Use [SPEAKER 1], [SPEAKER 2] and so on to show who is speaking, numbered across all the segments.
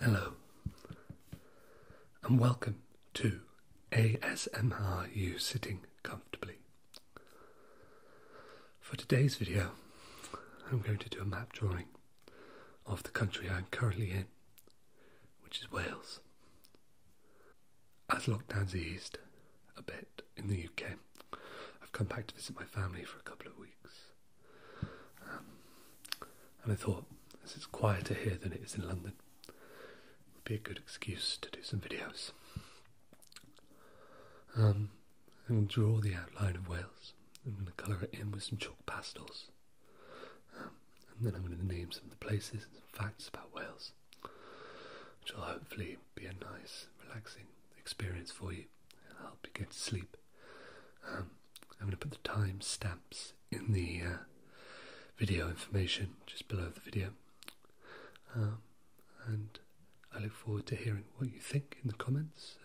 [SPEAKER 1] Hello, and welcome to ASMR You Sitting Comfortably. For today's video, I'm going to do a map drawing of the country I'm currently in, which is Wales. As lockdown's eased a bit in the UK, I've come back to visit my family for a couple of weeks and I thought, as it's quieter here than it is in London, it would be a good excuse to do some videos. Um, I'm going to draw the outline of Wales. I'm going to colour it in with some chalk pastels. Um, and then I'm going to name some of the places and facts about Wales, which will hopefully be a nice, relaxing experience for you. It'll help you get to sleep um, I'm going to put the time stamps in the uh, video information just below the video. Um, and I look forward to hearing what you think in the comments.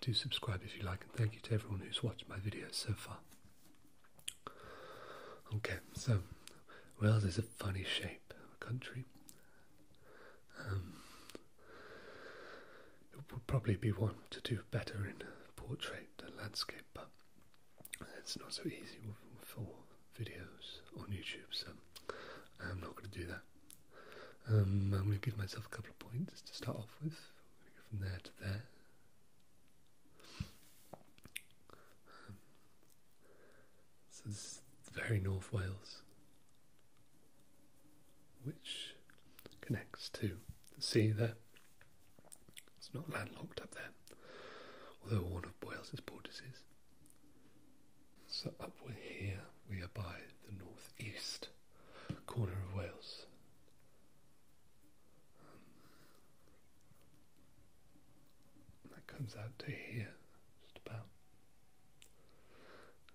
[SPEAKER 1] do subscribe if you like, and thank you to everyone who's watched my videos so far. Okay, so Wales is a funny shape of a country. Um, it would probably be one to do better in a portrait a landscape, but it's not so easy for videos on YouTube, so I'm not going to do that. Um, I'm going to give myself a couple of points to start off with. from there to there. Um, so this is very North Wales which connects to the sea there. It's not landlocked up there, although one of Boyle's borders is. So we're here we are by the northeast corner of Wales. that comes out to here, just about.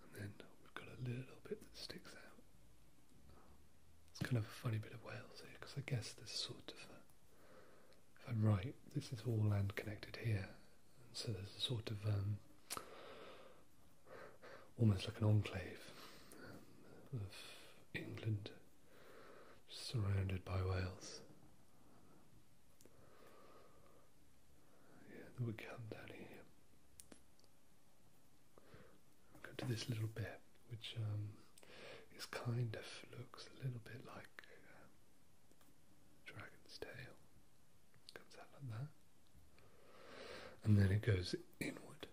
[SPEAKER 1] And then we've got a little bit that sticks out. It's kind of a funny bit of Wales here eh? because I guess there's sort of a, if I'm right, this is all land connected here. so there's a sort of um, almost like an enclave um, of England surrounded by Wales. Yeah, then we come down here. Go to this little bit, which um, is kind of looks a little bit like um, dragon's tail. Comes out like that, and then it goes inward.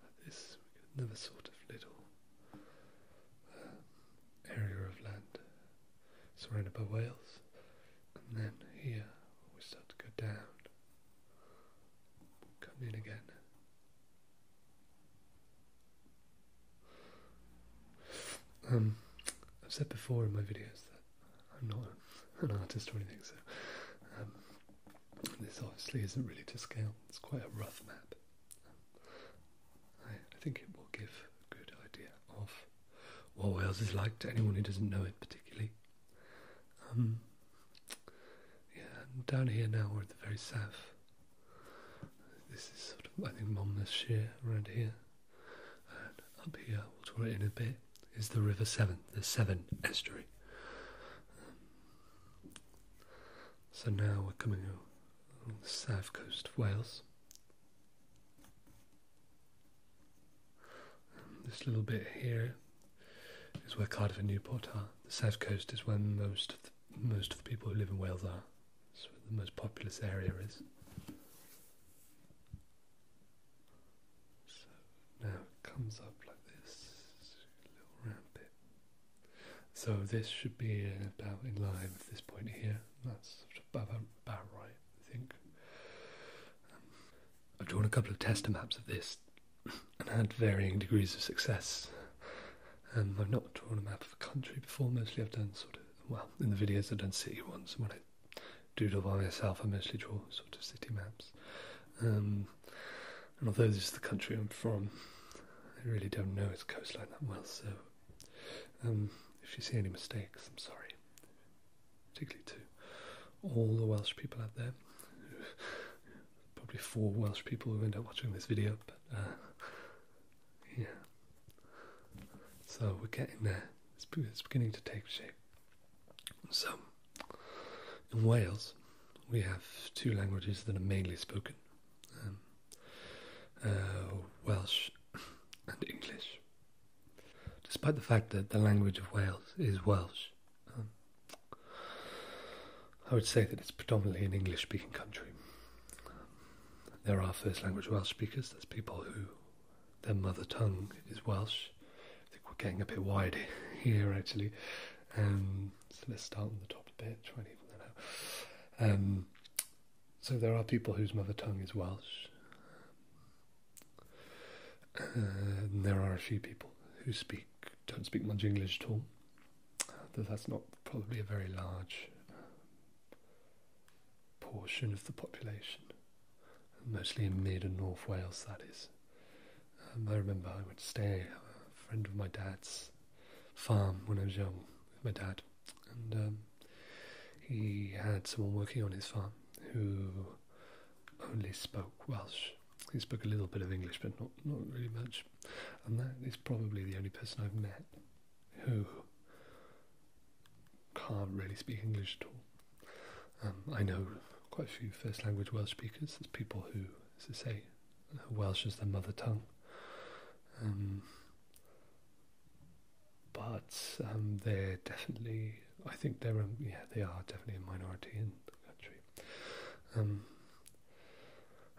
[SPEAKER 1] Like this, another sort of little um, area of land surrounded by whales, and then here we start to go down Come in again. Um, I've said before in my videos that I'm not an artist or anything, so um, this obviously isn't really to scale. It's quite a rough map. I think it will give a good idea of what Wales is like to anyone who doesn't know it particularly. Um, yeah, down here now we're at the very south. This is sort of, I think, Monmouthshire around here. And up here, we'll draw it in a bit, is the River Severn, the Severn estuary. so now we're coming along the south coast of Wales. This little bit here is where Cardiff and Newport are. The south coast is where most of the, most of the people who live in Wales are. It's the most populous area is. So now it comes up like this, little round So this should be about in line with this point here. That's about, about right, I think. I've drawn a couple of tester maps of this and had varying degrees of success. Um, I've not drawn a map of a country before, mostly I've done sort of, well, in the videos I've done city ones, when I doodle by myself I mostly draw sort of city maps. Um, and although this is the country I'm from, I really don't know its coastline that well, so um, if you see any mistakes, I'm sorry particularly to all the Welsh people out there. Probably four Welsh people who end up watching this video, but uh, yeah. So we're getting there. It's, beginning to take shape. So, in Wales, we have two languages that are mainly spoken um, uh, Welsh and English despite the fact that the language of Wales is Welsh. Um, I would say that it's predominantly an English speaking country. there are first language Welsh speakers, that's people who their mother tongue is Welsh. I think we're getting a bit wide here actually. Um, so let's start on the top a bit, try and even that out. Um, so there are people whose mother tongue is Welsh there are a few people who speak don't speak much English at all. that's not probably a very large portion of the population, mostly in mid and north Wales, that is. Um, I remember I would stay uh, a friend of my dad's farm when I was young with my dad, and um, he had someone working on his farm who only spoke Welsh. He spoke a little bit of English, but not, not really much. And that is probably the only person I've met who can't really speak English at all. Um, I know quite a few first language Welsh speakers. There's people who, as I say, Welsh is their mother tongue. Um, but um, they're definitely I think they're um, yeah they are definitely a minority in the country. Um,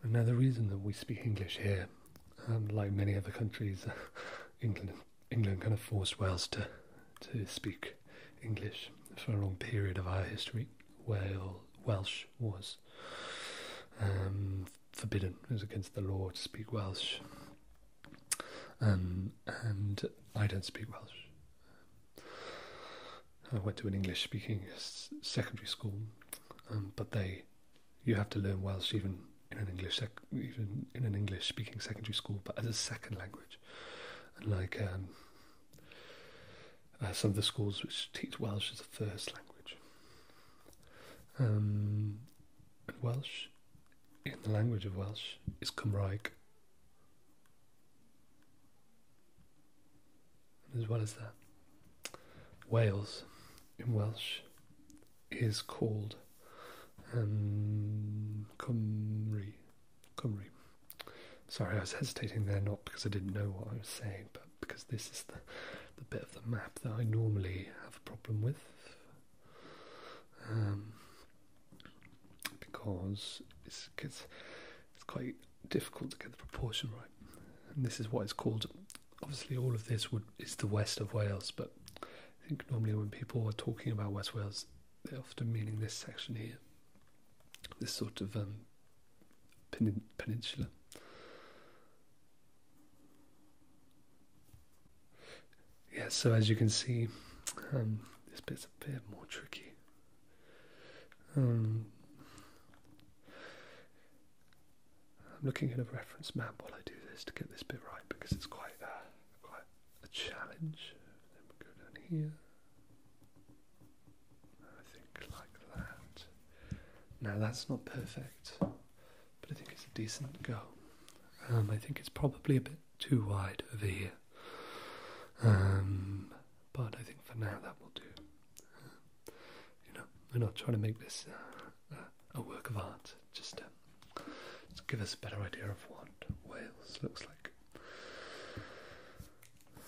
[SPEAKER 1] now the reason that we speak English here, um, like many other countries, England England kind of forced Wales to to speak English for a long period of our history. Wales Welsh was um, forbidden; it was against the law to speak Welsh. and I don't speak Welsh, I went to an English speaking secondary school, um, but they you have to learn Welsh even in an English even in an English speaking secondary school, but as a second language. And like um, uh, some of the schools which teach Welsh as a first language, um, Welsh in the language of Welsh is Cymraeg, as well as that, Wales in Welsh is called um, Cymru. Cymru. Sorry, I was hesitating there not because I didn't know what I was saying, but because this is the, the bit of the map that I normally have a problem with. Um, because it's, it's, quite difficult to get the proportion right. And this is what it's called. Obviously, all of this would is the west of Wales, but I think normally when people are talking about West Wales, they're often meaning this section here, this sort of um, peninsula yeah, so as you can see, um, this bit's a bit more tricky. Um, I'm looking at a reference map while I do this to get this bit right because it's uh, quite a challenge. Then we go down here. I think like that. Now that's not perfect, but I think it's a decent go. Um, I think it's probably a bit too wide over here. Um, but I think for now that will do. you know, we're not trying to make this uh, uh, a work of art. Just, uh, to give us a better idea of what Wales looks like.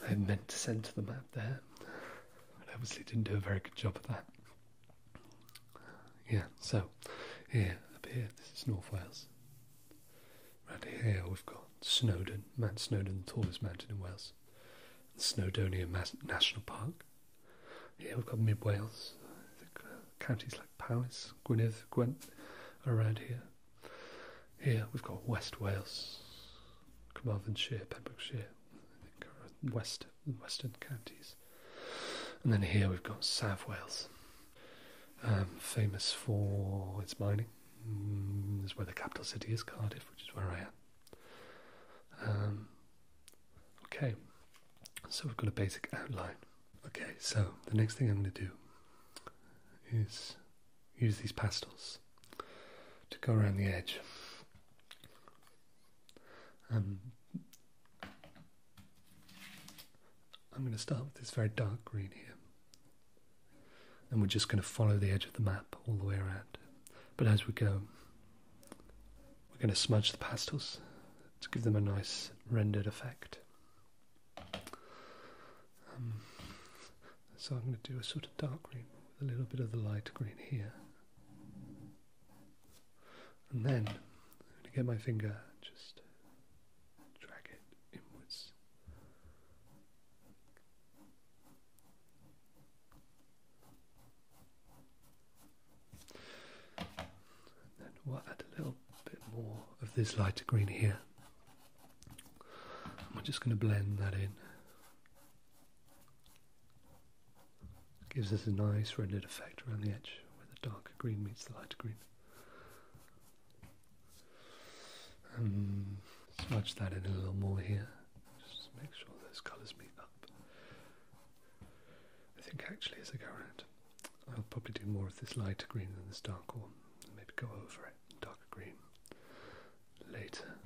[SPEAKER 1] I meant to send to the map there, but obviously didn't do a very good job of that. Yeah, so here, up here, this is North Wales. Around here we've got Snowdon, Mount Snowdon, the tallest mountain in Wales, Snowdonia National Park. Here we've got Mid Wales, counties like Powys, Gwynedd, Gwent are around here. Here we've got West Wales, Carmarthenshire, Pembrokeshire, west western counties. And then here we've got South Wales, um, famous for its mining. Mm, is where the capital city is, Cardiff, which is where I am. Um, okay, so we've got a basic outline. Okay, so the next thing I'm going to do is use these pastels to go around the edge. Um, I'm going to start with this very dark green here. And we're just going to follow the edge of the map all the way around. But as we go, we're going to smudge the pastels to give them a nice rendered effect. Um, so I'm going to do a sort of dark green with a little bit of the light green here. And then I'm going to get my finger just drag it inwards. And then we'll add a little bit more of this lighter green here. And we're just going to blend that in. Gives us a nice rendered effect around the edge where the darker green meets the lighter green. Um, smudge that in a little more here. Just make sure those colours meet up. I think actually as I go around, I'll probably do more of this lighter green than this dark one. And maybe go over it, darker green, later.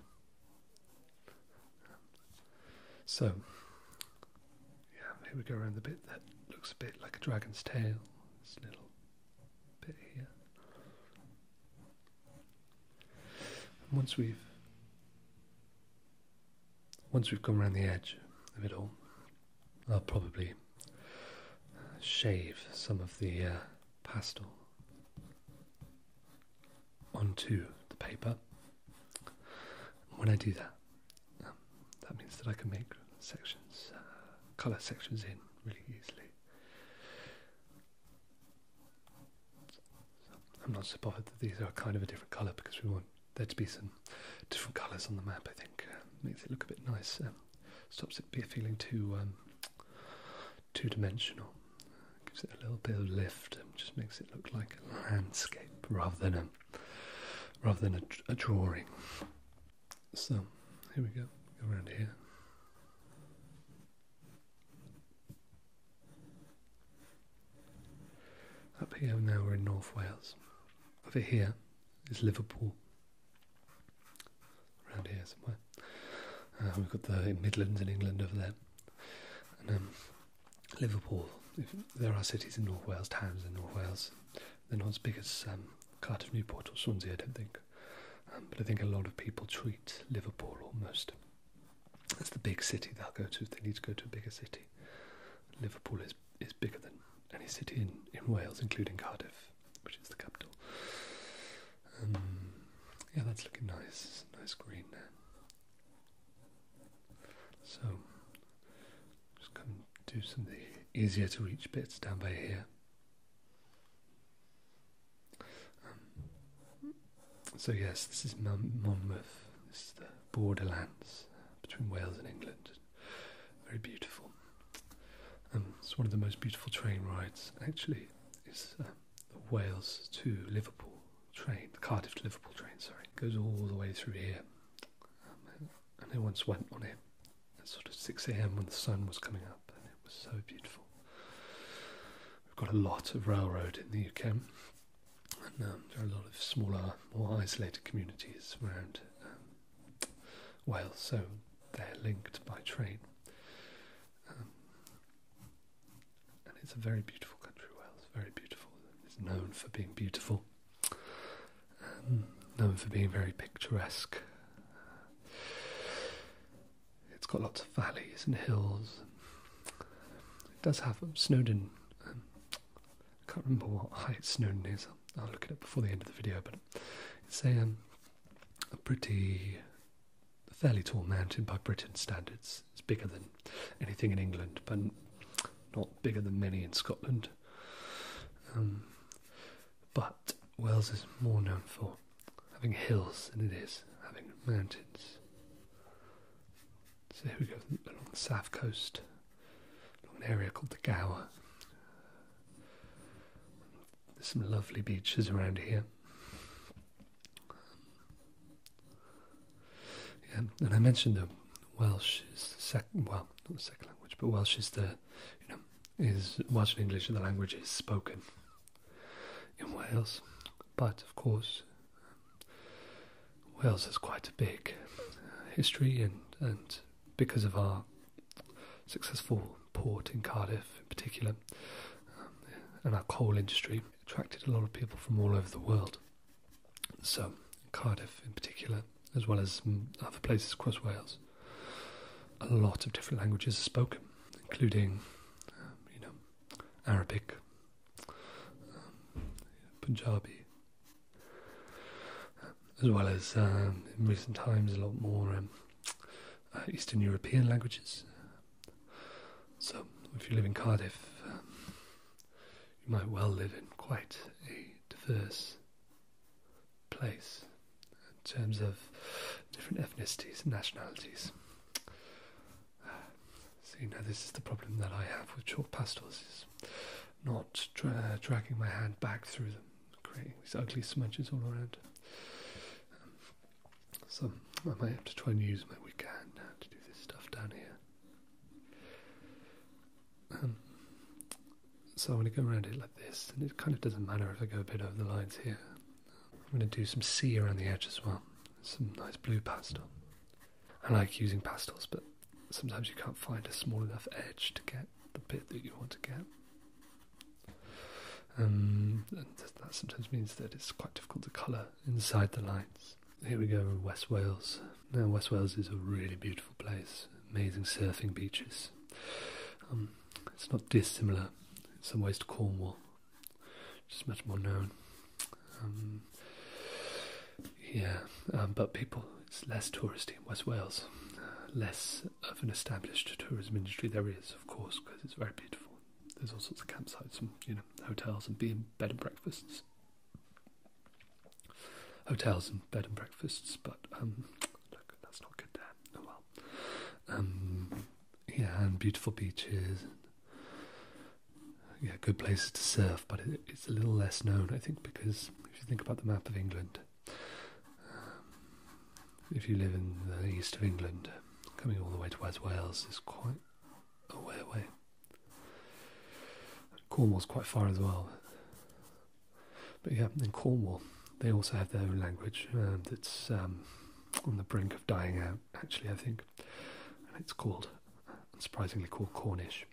[SPEAKER 1] So, yeah, here we go around the bit that looks a bit like a dragon's tail. This little bit here. And once we've once we've come around the edge of it all, I'll probably shave some of the uh, pastel onto the paper. When I do that, um, that means that I can make sections, uh, colour sections in really easily. I'm not surprised that these are kind of a different colour because we want there to be some different colours on the map. I think uh, makes it look a bit nice. Um, stops it feeling too um, two dimensional. Uh, gives it a little bit of lift and just makes it look like a landscape rather than a rather than a drawing. So here we go. around here. Up here now we're in North Wales. Over here is Liverpool. Around here somewhere. Uh, we've got the Midlands in England over there. Um, Liverpool. there are cities in North Wales, towns in North Wales. They're not as big as um, Cardiff, Newport, or Swansea, I don't think. Um, but I think a lot of people treat Liverpool almost as the big city they'll go to they need to go to a bigger city. Liverpool is is bigger than any city in, in Wales, including Cardiff, which is the capital. Um, yeah, that's looking nice. Nice green there. So, just come do some of the easier to reach bits down by here. Um, so, yes, this is Monmouth, this is the borderlands between Wales and England. Very beautiful. Um, it's one of the most beautiful train rides, actually. It's uh, the Wales to Liverpool train, the Cardiff to Liverpool train, sorry. It goes all the way through here. Um, and I once went on it at sort of 6 a.m. when the sun was coming up, and it was so beautiful. We've got a lot of railroad in the UK, and um, there are a lot of smaller, more isolated communities around um, Wales, so they're linked by train. Um, and it's a very beautiful country, Wales, very beautiful. It's known for being beautiful. Um, known for being very picturesque. It's got lots of valleys and hills. It does have um, Snowdon. Um, I can't remember what height Snowdon is. I'll, look at it before the end of the video. But it's a, pretty, fairly tall mountain by Britain standards. It's bigger than anything in England, but not bigger than many in Scotland. But Wales is more known for having hills than it is having mountains. So here we go along the south coast, along an area called the Gower. There's some lovely beaches around here. Yeah, and I mentioned the Welsh is the second, well, not the second language, but Welsh is the you know is Welsh and English the language is spoken in Wales, but of course, Wales has quite a big history, and, and because of our successful port in Cardiff in particular, um, and our coal industry, attracted a lot of people from all over the world. So, Cardiff in particular as well as mm, other places across Wales, a lot of different languages are spoken, including, um, you know, Arabic, um, Punjabi, um, as well as in recent times a lot more uh, Eastern European languages. So, if you live in Cardiff, you might well live in quite a diverse place in terms of different ethnicities and nationalities. So now this is the problem that I have with chalk pastels: is not dragging my hand back through them, creating these ugly smudges all around. Um, so I might have to try and use my weak hand to do this stuff down here. Um, so I'm going to go around it like this, and it kind of doesn't matter if I go a bit over the lines here. I'm going to do some sea around the edge as well, some nice blue pastel. I like using pastels, but sometimes you can't find a small enough edge to get the bit that you want to get. Um, and that sometimes means that it's quite difficult to colour inside the lines. Here we go, West Wales. Now, West Wales is a really beautiful place, amazing surfing beaches, um, it's not dissimilar in some ways to Cornwall, just much more known. Um, yeah, um, but people, it's less touristy in West Wales, uh, less of an established tourism industry. There is, of course, because it's very beautiful. There's all sorts of campsites and you know hotels and bed and breakfasts, hotels and bed and breakfasts. But look, that's not good there. Oh well. Um, yeah, and beautiful beaches. yeah, good places to surf, but it's a little less known, I think, because if you think about the map of England, um, if you live in the east of England, coming all the way to West Wales is quite a way away. Cornwall's quite far as well. But yeah, in Cornwall, they also have their own language um, that's um, on the brink of dying out, actually, I think. it's called, unsurprisingly, called Cornish.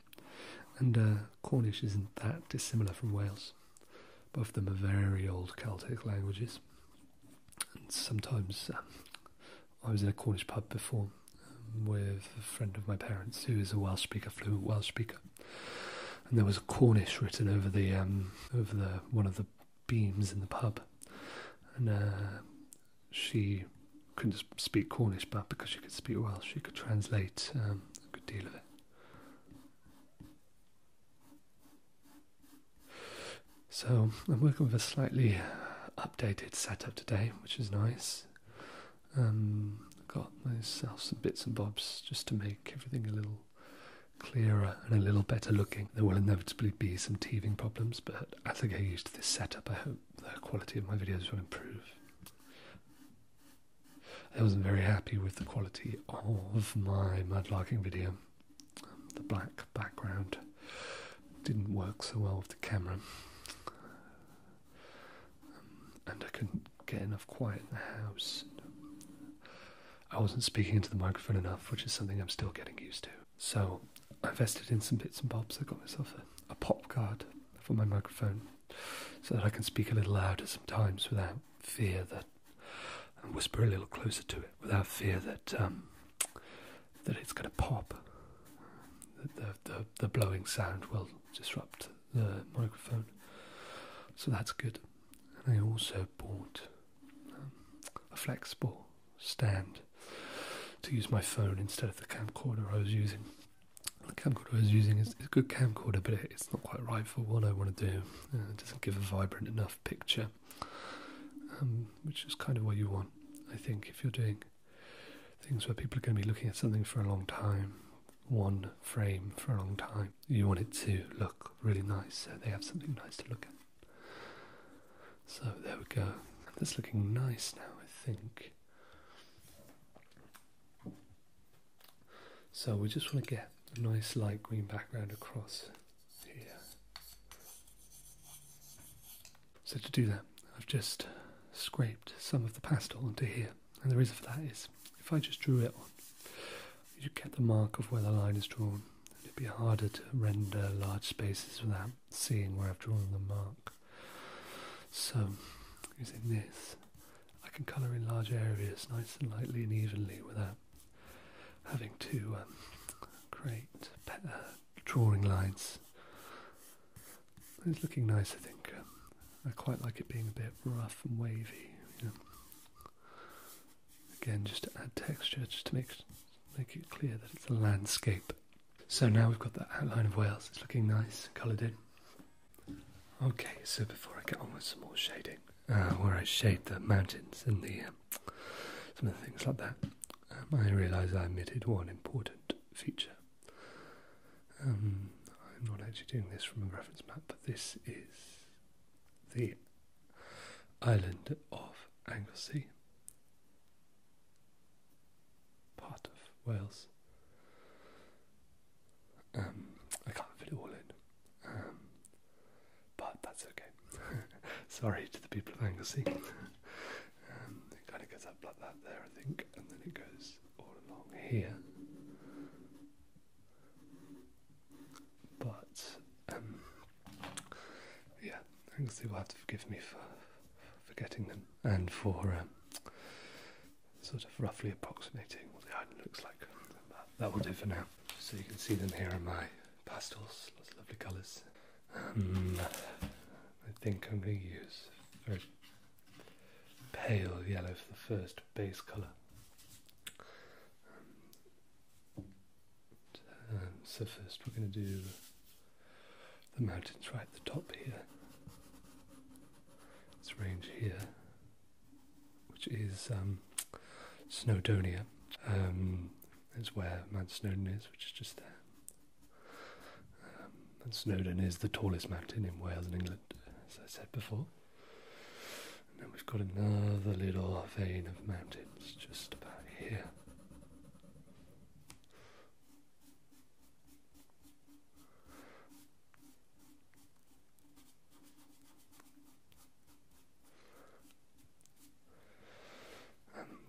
[SPEAKER 1] And uh, Cornish isn't that dissimilar from Wales. Both of them are very old Celtic languages. And sometimes um, I was in a Cornish pub before um, with a friend of my parents who is a Welsh speaker, fluent Welsh speaker and there was Cornish written over the um, the one of the beams in the pub, and uh, she couldn't speak Cornish, but because she could speak Welsh, she could translate um, a good deal of it. So I'm working with a slightly updated setup today, which is nice. Um, got myself some bits and bobs just to make everything a little clearer and a little better looking. There will inevitably be some teething problems, but as I get used to this setup, I hope the quality of my videos will improve. I wasn't very happy with the quality of my mudlarking video. Um, the black background didn't work so well with the camera, um, and I could get enough quiet in the house. I wasn't speaking into the microphone enough, which is something I'm still getting used to. So I invested in some bits and bobs. I got myself a, pop guard for my microphone so that I can speak a little louder sometimes without fear that and whisper a little closer to it without fear that um, that it's going to pop. the, the the blowing sound will disrupt the microphone, so that's good. I also bought um, a flexible stand to use my phone instead of the camcorder I was using. The camcorder I was using is, a good camcorder, but it's not quite right for what I want to do. Uh, it doesn't give a vibrant enough picture, um, which is kind of what you want, I think, if you're doing things where people are going to be looking at something for a long time one frame for a long time. You want it to look really nice so they have something nice to look at. So there we go. That's looking nice now, I think. So we just want to get a nice light green background across here. So to do that, I've just scraped some of the pastel onto here and the reason for that is if I just drew it you'd get the mark of where the line is drawn, and it'd be harder to render large spaces without seeing where I've drawn the mark. So, using this, I can colour in large areas nice and lightly and evenly without having to um, create uh, drawing lines. It's looking nice, I think. I quite like it being a bit rough and wavy. Again, just to add texture, just to make make it clear that it's a landscape. So now we've got the outline of Wales. It's looking nice, coloured in. Okay, so before I get on with some more shading, uh, where I shade the mountains and the um, some of the things like that, um, I realise I omitted one important feature. Um, I'm not actually doing this from a reference map, but this is the island of Anglesey, part of Wales. Um, I can't fit it all in, um, but that's okay. Sorry to the people of Anglesey. it kind of goes up like that there, I think, and then it goes all along here. But um, yeah, I guess You'll have to forgive me for forgetting them and for um, sort of roughly approximating what the island looks like. That, will do for now. So you can see them here in my pastels. Lots of lovely colours. Um, I think I'm going to use pale yellow for the first base colour. Um, so first we're going to do the mountains right at the top here. This range here, which is um, Snowdonia. Um, it's where Mount Snowdon is, which is just there. Um, Mount Snowdon is the tallest mountain in Wales and England, as I said before. And then we've got another little vein of mountains just about here.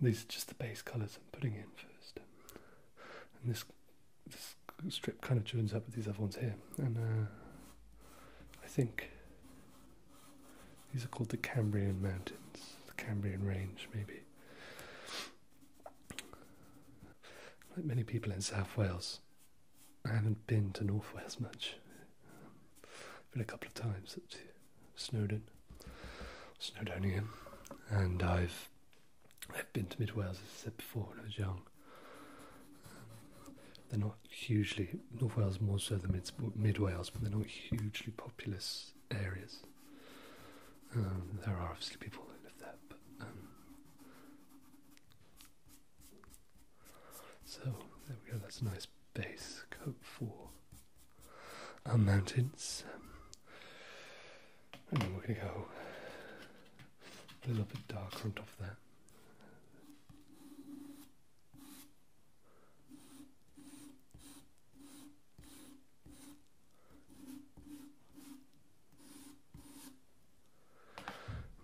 [SPEAKER 1] these are just the base colours I'm putting in first. And this this strip kind of joins up with these other ones here, and uh, I think these are called the Cambrian Mountains, the Cambrian Range, maybe. Like many people in South Wales, I haven't been to North Wales much. been a couple of times at Snowdon, Snowdonian, and I've I've been to Mid Wales, as I said before, when I was young. They're not hugely, North Wales more so than mid, mid Wales, but they're not hugely populous areas. Um, there are obviously people that live there, um, so there we go, that's a nice base coat for our mountains. Um, and then we're going to go a little bit darker on top of that.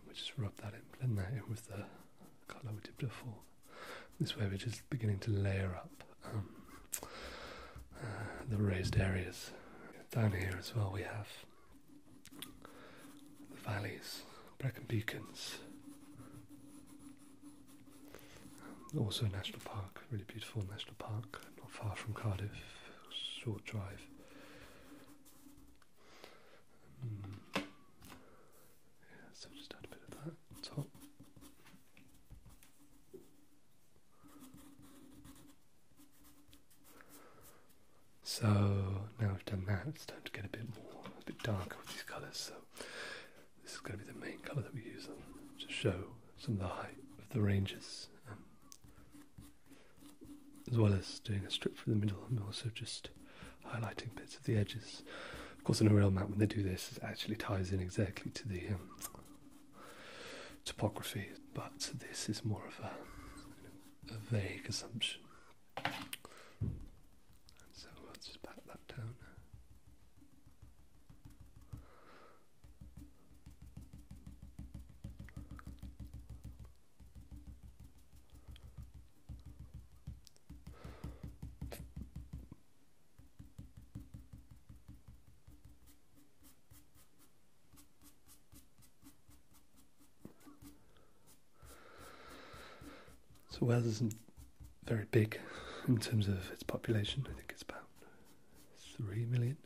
[SPEAKER 1] We just rub that in, blend that in with the colour we did before. This way, we're just beginning to layer up um, uh, the raised areas. Down here as well, we have the valleys, Brecon Beacons. Also a national park, really beautiful national park, not far from Cardiff, short drive. Hmm. Yeah, so just add a bit of that top. So now we have done that, it's time to get a bit more, a bit darker with these colours. So this is going to be the main colour that we use to show some of the height of the ranges, um, as well as doing a strip through the middle and also just highlighting bits of the edges. Of course, in a real map, when they do this, it actually ties in exactly to the um, topography, but this is more of a a vague assumption. so we'll just back that down. So Wales isn't very big in terms of its population. I think it's about three million.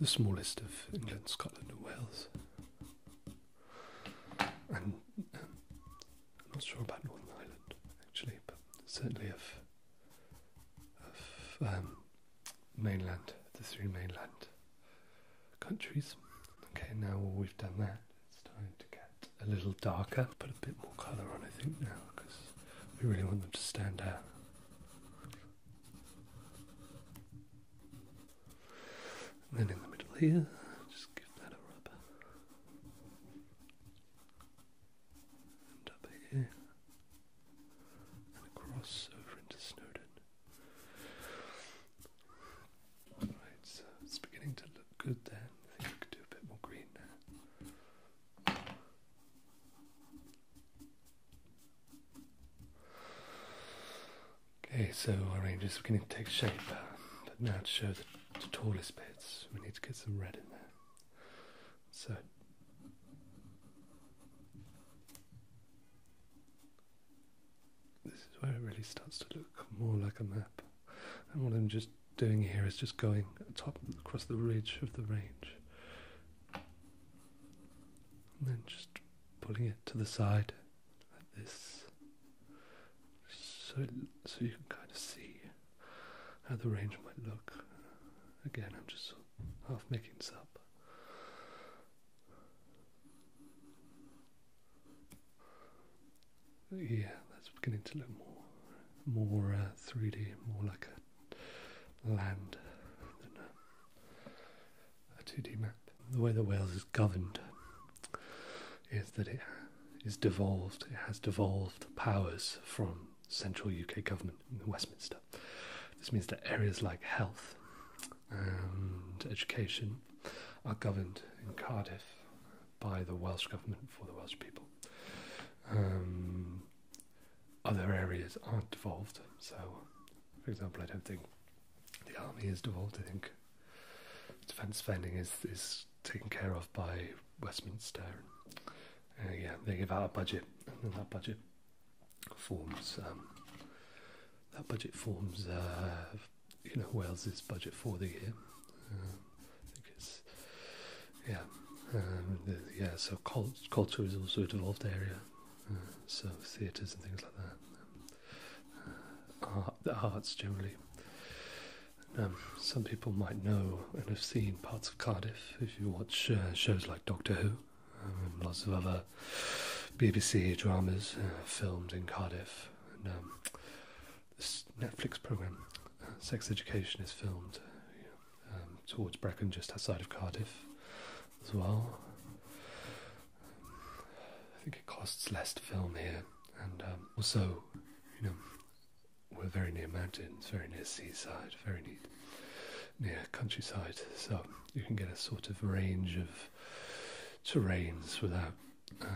[SPEAKER 1] The smallest of England, Scotland, and Wales. And I'm um, not sure about Northern Ireland actually, but certainly of of um, mainland, the three mainland countries. Okay, now we've done that, it's time to get a little darker. Put a bit more colour on, I think, now because we really want them to stand out. And then in the middle here, just give that a rub. And here. And across over into Snowden. Alright, so it's beginning to look good then. I think we could do a bit more green now. Okay, so our ranges are beginning to take shape, uh, but now to show the, the tallest bits, we need to get some red in there. So this is where it really starts to look more like a map. And what I'm just doing here is just going top across the ridge of the range. And then just pulling it to the side like this. So, so you can kind of see how the range might look. Again, I'm just half making this up. Yeah, that's beginning to look more, more 3D, uh, more like a land than a 2D map. The way that Wales is governed is that it is devolved. It has devolved powers from central UK government in Westminster. This means that areas like health and education are governed in Cardiff by the Welsh government for the Welsh people. Um, other areas aren't devolved, so for example, I don't think the army is devolved. I think defence spending is is taken care of by Westminster. Uh, yeah, they give out a budget, and that budget forms um, that budget forms uh, you know Wales's budget for the year. Uh, I think it's yeah um, yeah. So culture is also a devolved area. Uh, so theatres and things like that. Um, the arts generally. some people might know and have seen parts of Cardiff if you watch shows like Doctor Who lots of other BBC dramas uh, filmed in Cardiff. Um, this Netflix program, uh, Sex Education, is filmed um, towards Brecon, just outside of Cardiff, as well. I think it costs less to film here, and um, also, you know, we're very near mountains, very near seaside, very neat near countryside, so you can get a sort of range of terrains without uh,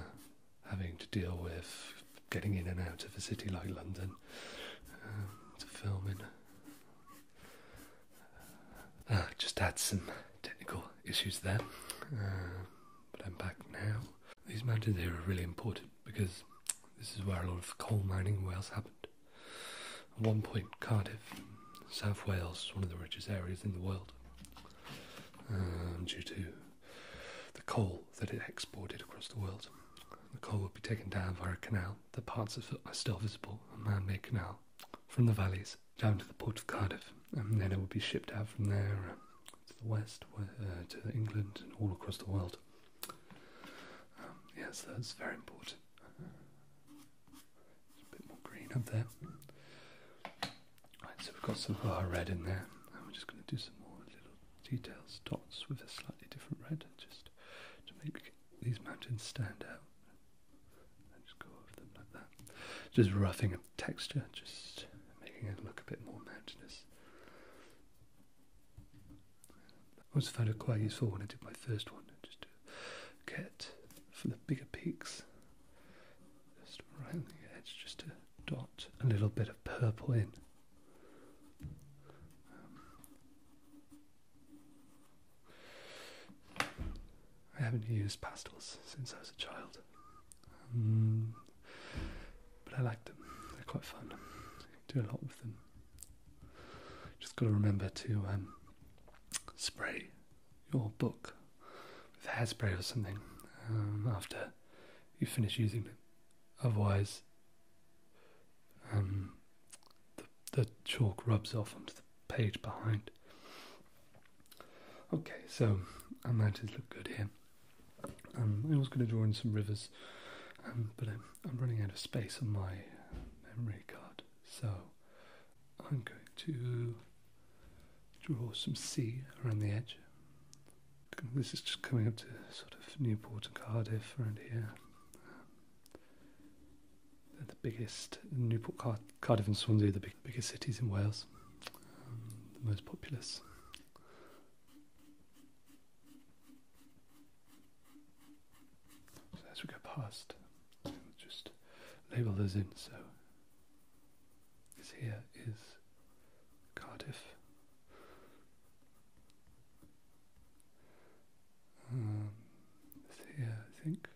[SPEAKER 1] having to deal with getting in and out of a city like London um, to film in. Ah, just had some technical issues there, um, but I'm back now. These mountains here are really important because this is where a lot of coal mining in Wales happened one point, Cardiff, South Wales, one of the richest areas in the world, um, due to the coal that it exported across the world. The coal would be taken down via a canal. The parts of it are still visible, a man-made canal, from the valleys down to the port of Cardiff, and then it would be shipped out from there uh, to the west, uh, to England, and all across the world. Um, yes, that's very important a bit more green up there. Right, so we've got some of our red in there, and we're just going to do some more little details, dots with a slightly different red, just to make these mountains stand out. just go over them like that. Just roughing up texture, just making it look a bit more mountainous. I always found it quite useful when I did my first one, just get for the bigger peaks. Just around the edge, just to dot a little bit of purple in. I haven't used pastels since I was a child, um, but I like them. They're quite fun. do a lot with them. Just got to remember to um, spray your book with hairspray or something um, after you finish using it. Otherwise, um, the, chalk rubs off onto the page behind. Okay, so I managed to look good here. Um, I was going to draw in some rivers, but I'm, I'm, running out of space on my memory card, so I'm going to draw some sea around the edge. This is just coming up to sort of Newport and Cardiff around here. They're the biggest, Newport, Cardiff, and Swansea are the biggest cities in Wales, um, the most populous. So as we go past, just label those in. So this here is Cardiff. Um, this here, I think,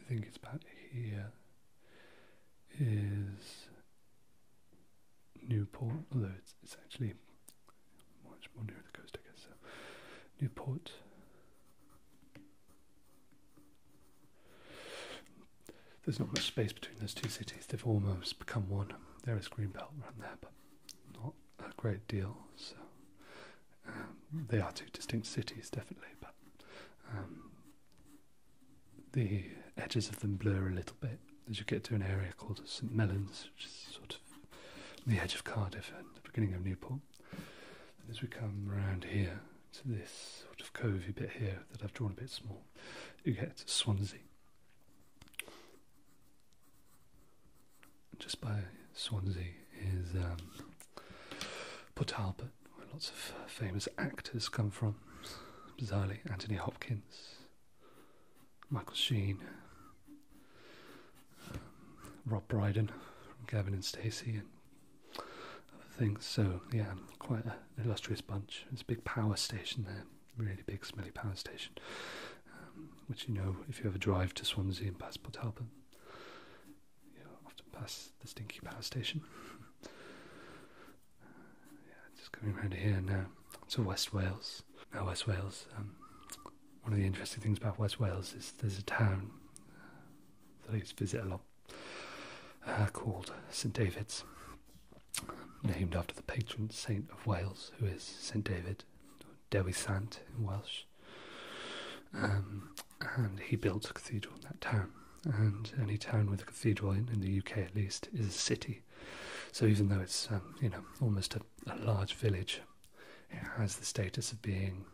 [SPEAKER 1] I think it's about here, is Newport, although it's, it's actually much more near the coast, I guess. So Newport, there's not much space between those two cities, they've almost become one. There is green belt around there, but not a great deal. So um, they are two distinct cities, definitely, but um, the edges of them blur a little bit as you get to an area called St Mellons, which is sort of the edge of Cardiff and the beginning of Newport as we come round here to this sort of covey bit here that I've drawn a bit small, you get Swansea. Just by Swansea is um, Port Albert, where lots of uh, famous actors come from. Bizarrely, Anthony Hopkins, Michael Sheen, Rob Brydon from Gavin and Stacey and other things. So yeah, quite an illustrious bunch. It's a big power station there, really big smelly power station, um, which you know if you ever drive to Swansea and pass Port Talbot, you will often pass the stinky power station. uh, yeah, just going around here now to West Wales. Now West Wales. Um, one of the interesting things about West Wales is there's a town that I visit a lot, uh, called St David's, named after the patron saint of Wales, who is St David, Dewi Sant in Welsh. Um, and he built a cathedral in that town. And any town with a cathedral in, the UK at least, is a city. So even though it's um, you know almost a large village, it has the status of being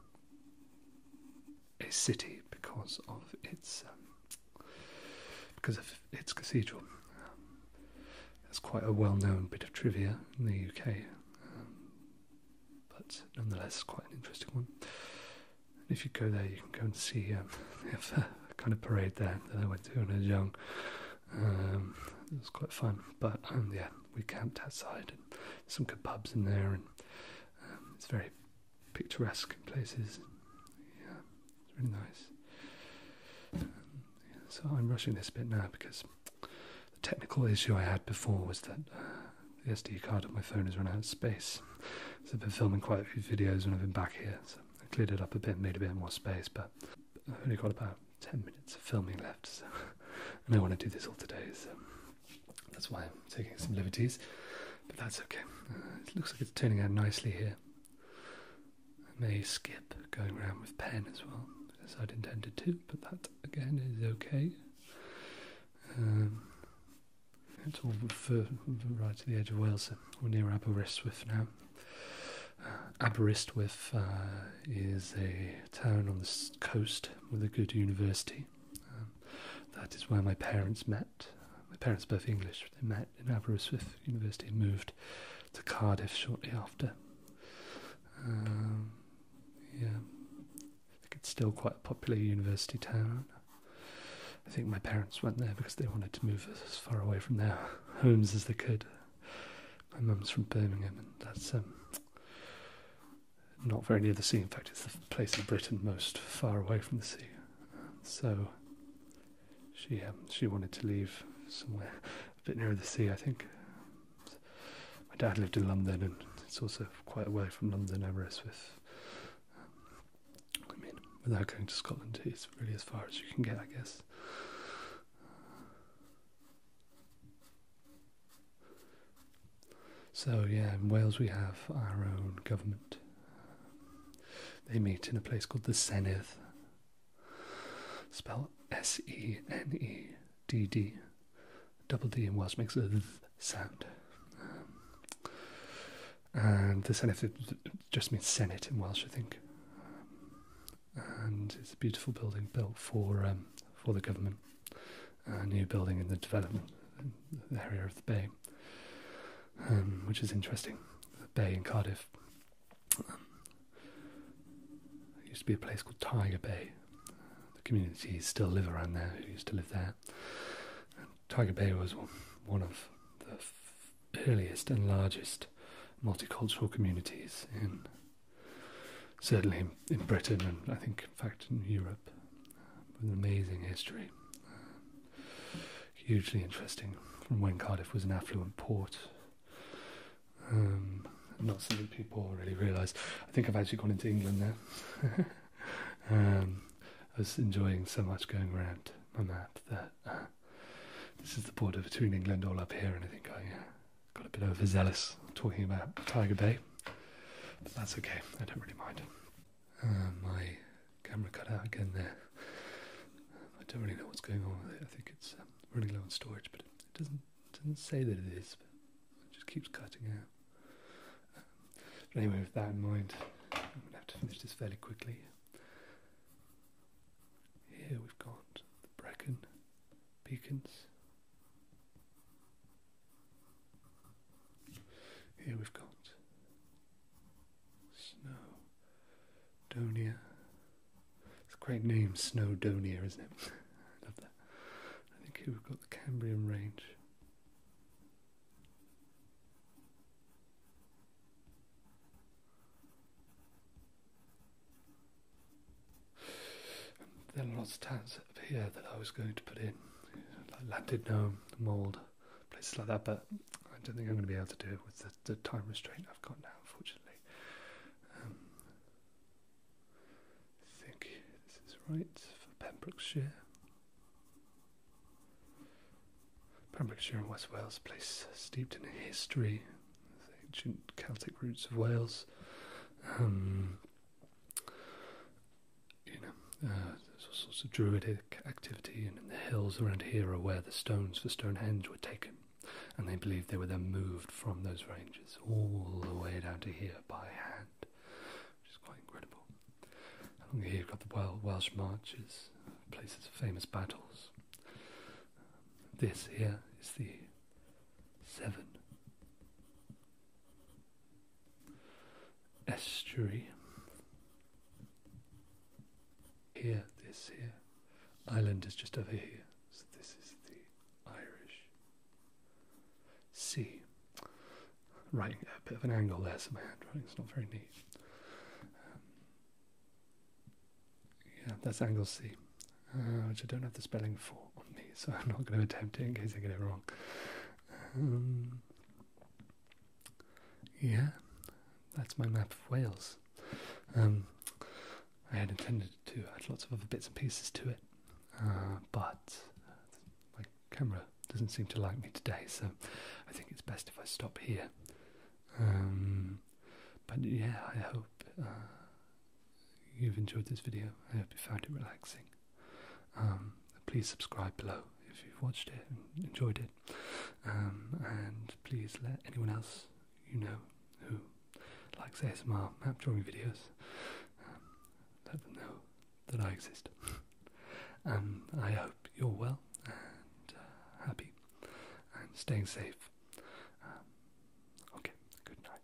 [SPEAKER 1] a city because of its um, because of its cathedral. Um, quite a well-known bit of trivia in the UK, um, but nonetheless, quite an interesting one. if you go there, you can go and see um, a kind of parade there that I went to when I was young. Um, it was quite fun, but yeah, we camped outside and some kebabs in there um, it's very picturesque in places. Yeah, it's really nice. Um, so I'm rushing this bit now because the technical issue I had before was that uh, the SD card of my phone has run out of space. So I've been filming quite a few videos when I've been back here. So I cleared it up a bit, made a bit more space, but I've only got about 10 minutes of filming left. So and I want to do this all today. So. That's why I'm taking some liberties, but that's okay. Uh, it looks like it's turning out nicely here. I may skip going around with pen as well, as I'd intended to, but that again is okay. Um, it's all to the edge of Wales, so we're near Aberystwyth now. Uh, Aberystwyth uh, is a town on the coast with a good university. Um, that is where my parents met. My parents both English. They met in Aberystwyth University and moved to Cardiff shortly after. Um, yeah, I think it's still quite a popular university town. I think my parents went there because they wanted to move as far away from their homes as they could. My mum's from Birmingham, and that's um, not very near the sea. In fact, it's the place in Britain most far away from the sea. So she um, she wanted to leave somewhere a bit nearer the sea, I think. My dad lived in London, and it's also quite away from London, Aberystwyth. Um, I mean, without going to Scotland, it's really as far as you can get, I guess. So, yeah, in Wales we have our own government. They meet in a place called the Senedd, spelled S E N E D D. Double D in Welsh makes a th sound. and the Senedd just means Senate in Welsh, I think. and it's a beautiful building built for um, for the government a new building in the development area of the bay, um, which is interesting. The bay in Cardiff used to be a place called Tiger Bay. The communities still live around there who used to live there. Tiger Bay was one of the earliest and largest multicultural communities in certainly in Britain and I think in fact, in Europe, with an amazing history. Hugely interesting from when Cardiff was an affluent port. Um, not so many people really realise. I think I've actually gone into England now. Um, I was enjoying so much going around my map that uh, this is the border between England all up here, and I think I got a bit overzealous talking about Tiger Bay that's okay, I don't really mind. Uh, my camera cut out again there. I don't really know what's going on with it. I think it's um, running low on storage, but it doesn't doesn't say that it is. it just keeps cutting out. but anyway, with that in mind, I'm gonna have to finish this fairly quickly. Here we've got the Brecon beacons. Here we've got Snowdonia. It's a great name, Snowdonia, isn't it? I love that. I think here we've got the Cambrian Range. There are lots of towns up here that I was going to put in, like Llandudno, Mould, places like that, but I don't think I'm going to be able to do it with the, time restraint I've got now, unfortunately. Um, I think this is right for Pembrokeshire. Pembrokeshire and West Wales, a place steeped in history, ancient Celtic roots of Wales. Um, you know, uh, there's all sorts of druidic activity, and the hills around here are where the stones for Stonehenge were taken, and they believe they were then moved from those ranges all the way down to here by hand, which is quite incredible. Along here you've got the Welsh marches, places of famous battles. This here is the Seven estuary. Here, this here. Island is just over here. So this is the Irish Sea. Right, a bit of an angle there, so my handwriting's not very neat. Um, yeah, that's angle C, uh, which I don't have the spelling for. so I'm not going to attempt it in case I get it wrong. Um, yeah, that's my map of Wales. Um, I had intended to add lots of other bits and pieces to it, uh, but my camera doesn't seem to like me today, so I think it's best if I stop here. Um, but yeah, I hope uh, you've enjoyed this video. I hope you found it relaxing. Um, please subscribe below if you've watched it and enjoyed it. Um, and please let anyone else you know who likes ASMR map drawing videos, um, let them know that I exist. and I hope you're well and uh, happy and staying safe. okay, good night.